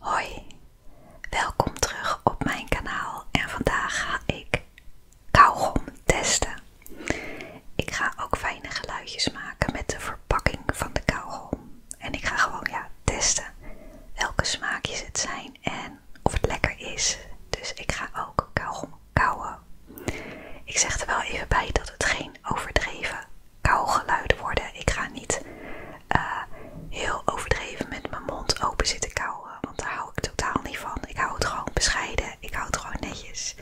Hoi, welkom terug op mijn kanaal en vandaag ga ik kauwgom testen. Ik ga ook fijne geluidjes maken met de verpakking van de kauwgom. En ik ga gewoon ja, testen welke smaakjes het zijn en of het lekker is. Dus ik ga ook kauwgom kauwen. Ik zeg er wel even bij dat het geen overdreven geluiden worden. Ik ga niet eh, heel overdreven met mijn mond open zitten kauwen, want daar hou ik totaal niet van. Ik hou het gewoon bescheiden, ik hou het gewoon netjes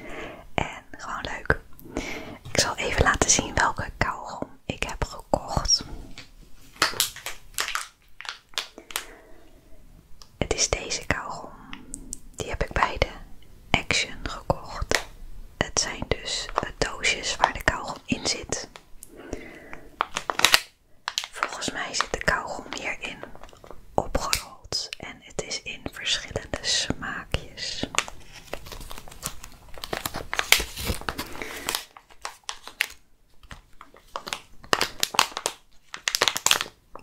en gewoon leuk. Ik zal even laten zien welke kauwgom ik heb gekocht. Het is deze kauwgom. Die heb ik bij de Action gekocht. Het zijn dus doosjes waar de kauwgom in zit. Volgens mij zit de kauwgom hierin opgerold en het is in verschillende smaakjes.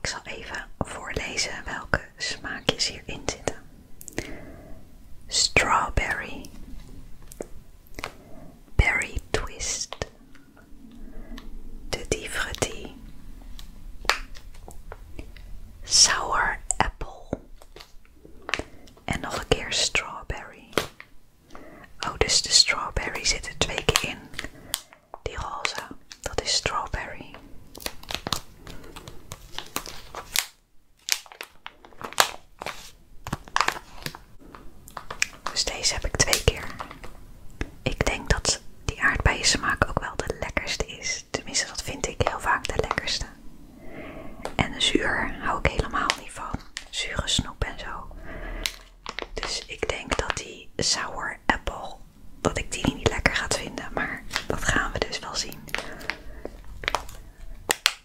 Ik zal even voorlezen welke smaakjes hierin zitten strawberry, berry twist, tutti frutti, sour apple en nog een keer strawberry. Oh, dus de strawberry zit er twee keer in. Die roze, dat is strawberry. Dus deze heb ik twee keer. Ik denk dat die aardbeien smaak ook wel de lekkerste is. Tenminste, dat vind ik heel vaak de lekkerste. En de zuur hou ik helemaal niet van. Zure snoep en zo. Dus ik denk dat die sour apple, dat ik die niet lekker ga vinden. Maar dat gaan we dus wel zien.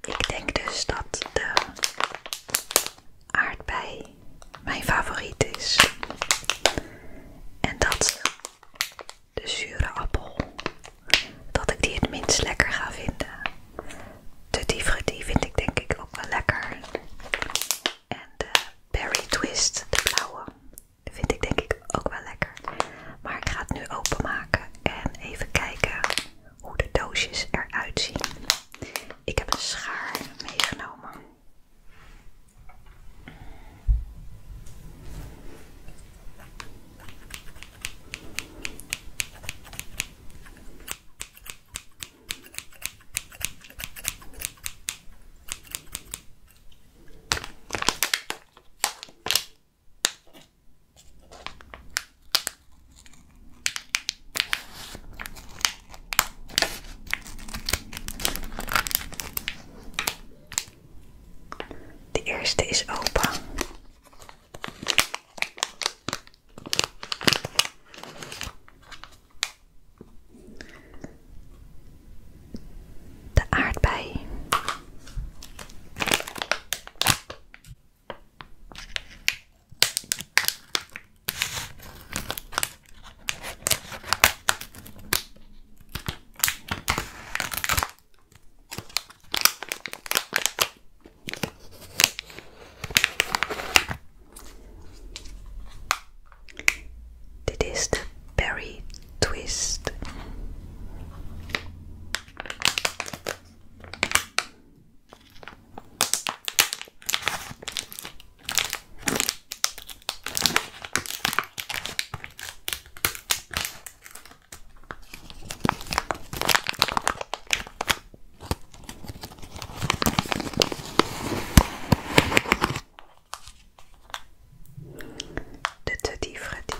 Ik denk dus dat de aardbei mijn favoriet is. En dat de zure appel, dat ik die het minst lekker ga vinden. De diefretie vind ik denk ik ook wel lekker. En de berry twist, de blauwe, vind ik denk ik ook wel lekker. Maar ik ga het nu openmaken en even kijken hoe de doosjes eruit zien. Ik heb een schaar meegenomen. De eerste is open. De aardbei. It is the berry twist. De tutti Freddy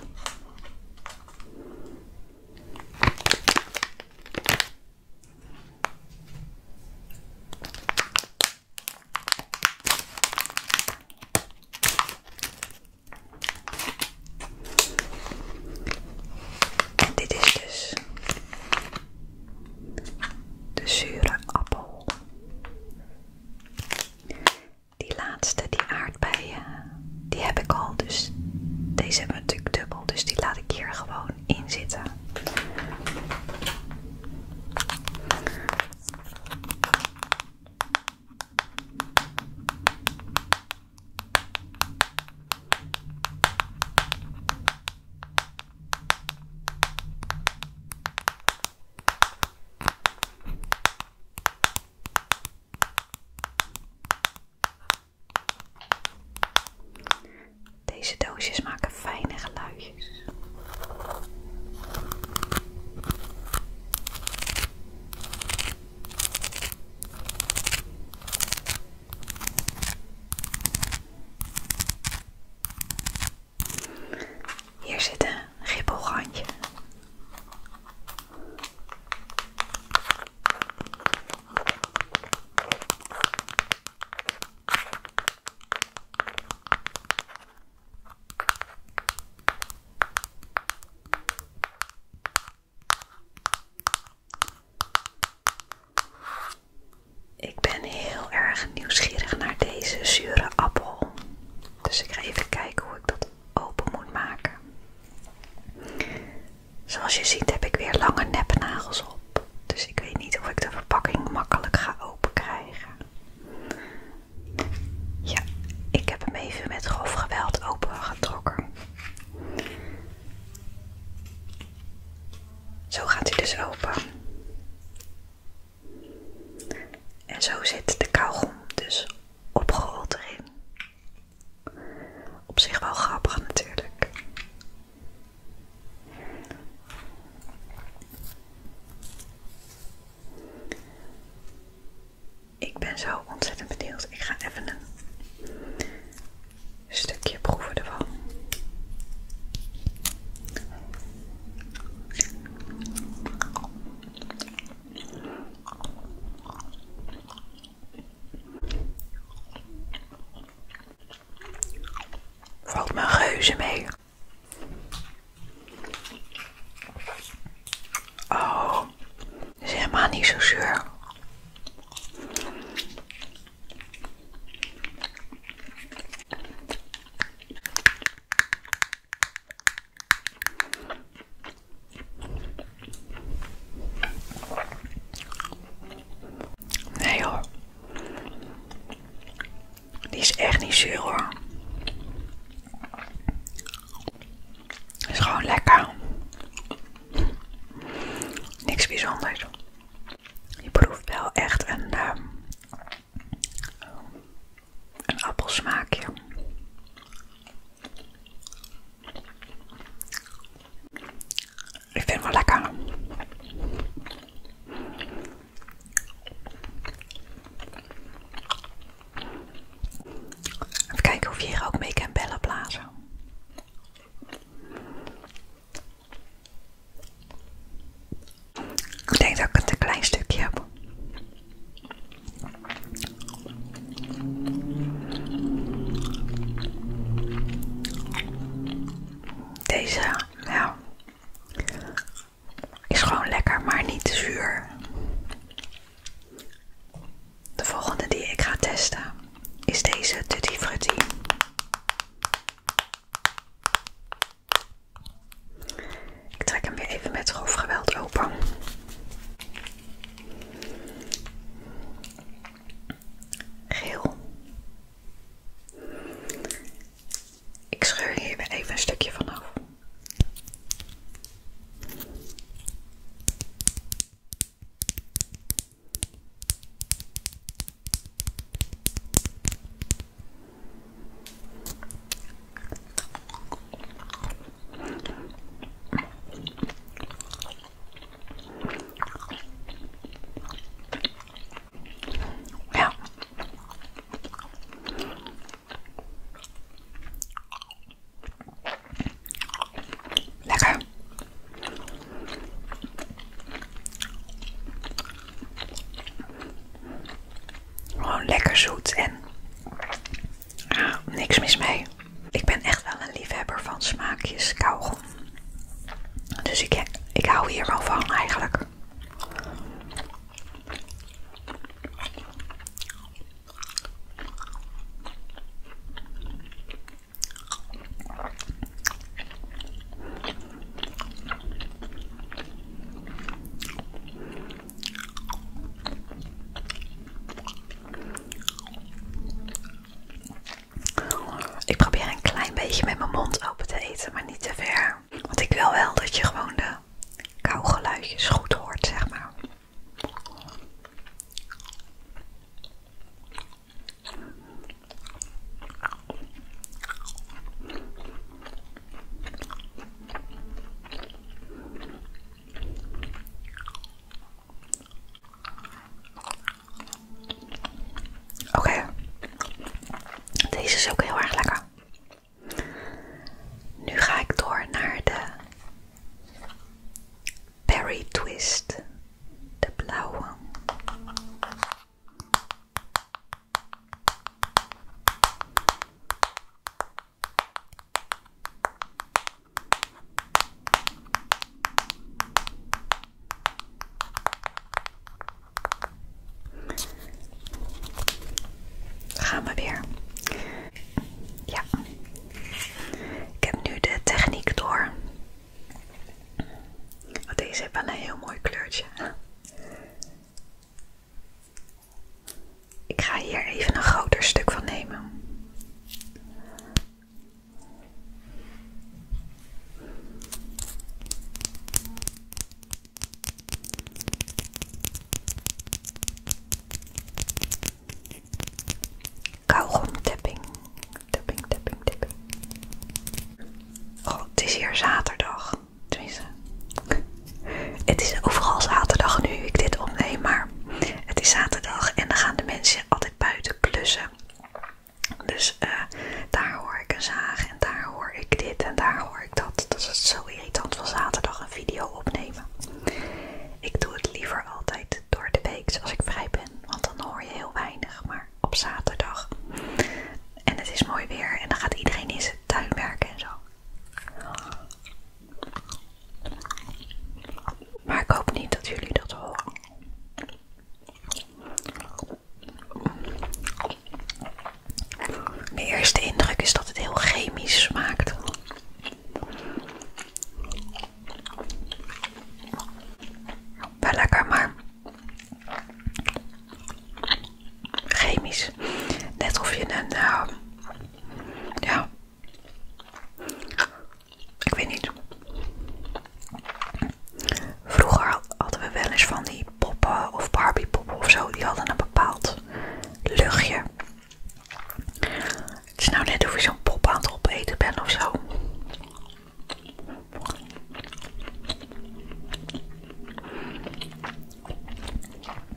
dit is dus de zure appel. Die laatste, die aardbeien, eh, die heb ik al. Dus deze hebben we natuurlijk dubbel. Dus die laat ik hier gewoon in zitten. Deze doosjes maken fijne geluidjes. Hier zitten een ik ben heel erg nieuwsgierig naar deze zure appel. Dus ik ga even kijken hoe ik dat open moet maken. Zoals je ziet heb ik weer lange nepnagels op, dus ik weet niet of ik de verpakking makkelijk ga open krijgen. Ja, ik heb hem even met grof geweld opengetrokken. Zo gaat hij dus open. En zo zit de kauwgom dus opgerold erin. Op zich wel grappig natuurlijk. Ik ben zo ontzettend benieuwd. Ik ga even een stukje proeven ervan. Valt mijn geuze mee. Oh, dat is helemaal niet zo zuur. Nee hoor. Die is echt niet zuur Is gewoon lekker. Niks bijzonders. Je proeft wel echt een uh, een appelsmaakje. Ik vind het wel lekker. Even kijken of je hier ook mee kan bellen blazen. Ik denk dat ik het een klein stukje heb. Deze, ja, is gewoon lekker, maar niet zuur. De volgende die ik ga testen is deze Tutti ik trek hem weer even met grof geweld open. Geel. Ik scheur hier weer even een stukje vanaf. Lekker. Gewoon lekker zoet en Ah, niks mis mee. Ik ben echt wel een liefhebber van smaakjes kauwgom. Dus ik, ik hou hier wel van eigenlijk. Ik probeer een klein beetje met mijn mond open te eten, maar niet te ver. Want ik wil wel dat je gewoon de kauwgeluidjes goed hoort, zeg maar. Oké, deze is ook heel erg lekker. Nu ga ik door naar de Berry Twist, de blauwe. Gaan we weer. Ja. Ik heb nu de techniek door. Deze heeft wel een heel mooi kleurtje. Ik ga hier even een groter stuk van nemen. Kauwgom tapping. Tapping, tapping, tapping. Oh, het is hier zaterdag. Tenminste. Het is overal zaterdag nu ik dit opneem, maar het is zaterdag en dan gaan de mensen altijd buiten klussen. Dus eh, daar hoor ik een zaag en daar hoor ik dit en daar hoor ik dat. Dat is het zo irritant van zaterdag een video opnemen. Ik doe het liever altijd door de week dus als ik vrij ben, want dan hoor je heel weinig. Maar op zaterdag en het is mooi weer en dan gaat iedereen in zijn tuin werken en zo. Maar ik hoop niet dat jullie dat horen. Mijn eerste indruk is dat het heel chemisch smaakt. Wel lekker, maar chemisch. Net of je een eh, ja. Ik weet niet. Vroeger hadden we wel eens van die poppen of Barbie poppen of zo. Die hadden een bepaald luchtje. Het is nou net of je zo'n pop aan het opeten bent of zo.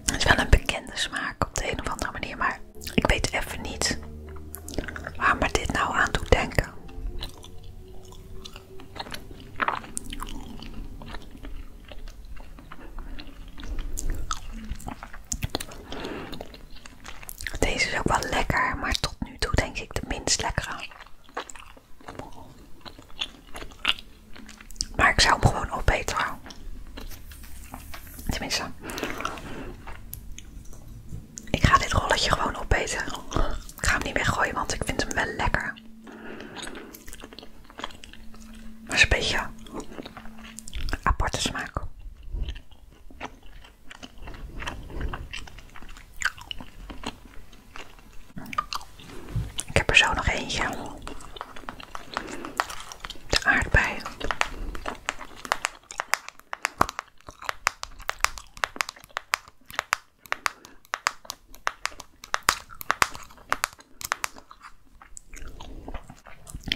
Het is wel een bekende smaak op de een of andere manier, maar ik weet even niet waar me dit nou aan toe denken. Deze is ook wel lekker, maar tot nu toe denk ik de minst lekkere. Maar ik zou hem gewoon opeten. Tenminste. Ik ga dit rolletje gewoon opeten. Ik ga hem niet weggooien, want ik vind hem wel lekker. Maar is een beetje aparte smaak. Ik heb er zo nog eentje de aardbei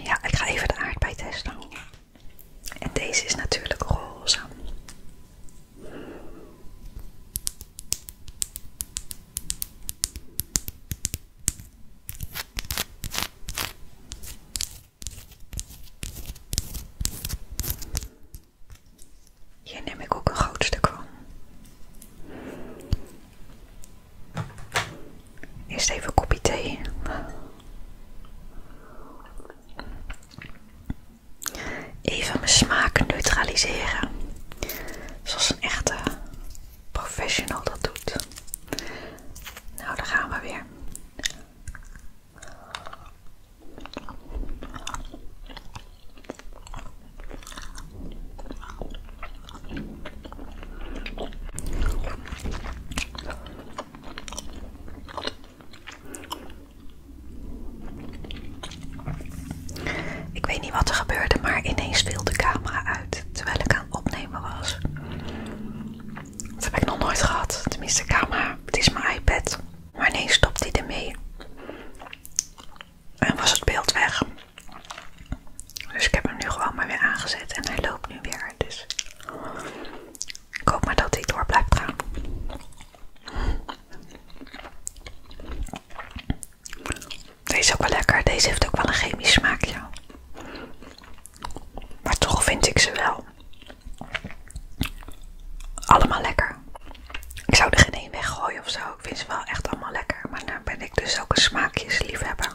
Ja, ik ga even de aardbei testen. En deze is natuurlijk roze. Hier neem ik ook een groot stuk van. Eerst even een thee. Even mijn smaak neutraliseren. Zoals een echte professional dat doet. Nou, daar gaan we weer. Ik weet niet wat er gebeurde, maar ineens viel de camera uit terwijl ik aan het opnemen was. Dat heb ik nog nooit gehad. Tenminste, camera, het is mijn iPad. Maar nee, stopt hij ermee. En was het beeld weg. Dus ik heb hem nu gewoon maar weer aangezet en hij loopt nu weer. Dus ik hoop maar dat hij door blijft gaan. Deze is ook wel lekker. Deze heeft ook wel een chemisch smaakje. Maar toch vind ik ze wel. Allemaal lekker. Ik zou er geen één weggooien of zo. Ik vind ze wel echt allemaal lekker. Maar daar nou ben ik dus ook een smaakjesliefhebber.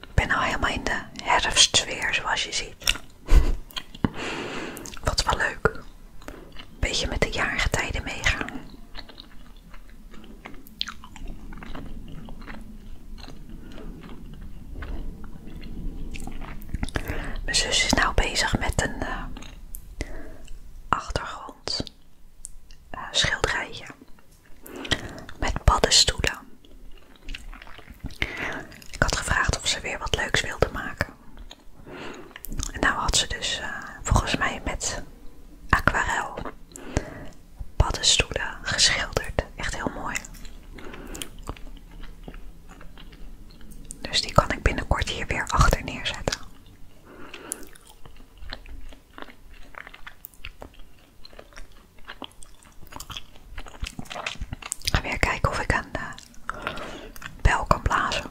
Ik ben al nou helemaal in de herfstsfeer zoals je ziet. Wat wel leuk. Een beetje met de jaargetijden meegaan. Mijn zus is nou bezig met een eh, achtergrond eh, schilderijje met paddenstoelen. Ik had gevraagd of ze weer wat leuks wilde maken. En nou had ze dus eh, volgens mij met aquarel paddenstoelen geschilderd. Echt heel mooi. Dus die kan ik binnenkort hier weer achter neerzetten ga weer kijken of ik een uh, bel kan blazen.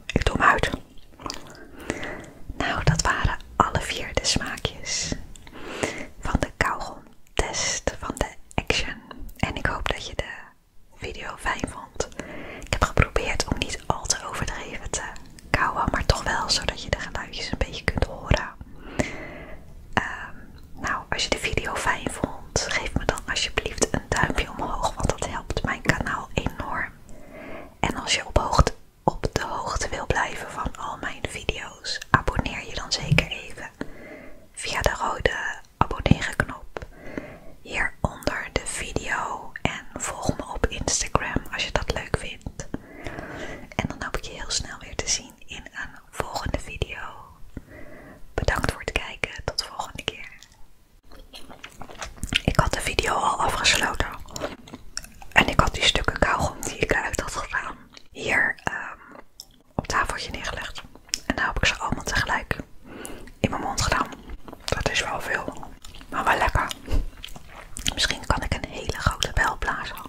Ik doe hem uit. Nou, dat waren alle vier de smaakjes van de kauwgomtest van de Action. En ik hoop dat je de video fijn vond. Ik heb geprobeerd om niet al te overdreven te kauwen, maar toch wel zodat je de geluidjes een beetje kunt horen. Ehm, nou, als je de video fijn vond, geef me dan alsjeblieft een duimpje omhoog, want dat helpt mijn kanaal enorm. En als je op, de hoogte wil blijven van al mijn video's, abonneer je dan zeker even via de rode abonneren knop hieronder de video en volg me op Instagram als je dat leuk vindt. En dan hoop ik je heel snel weer te zien in een volgende video. Bedankt voor het kijken, tot de volgende keer. Ik had de video al afgesloten. En ik had die stukken kauwgom die ik eruit had gedaan hier ehm, op tafeltje neergelegd. En daar heb ik ze allemaal tegelijk in mijn mond gedaan. Dat is wel veel, maar wel lekker. Misschien kan ik een hele grote bel blazen.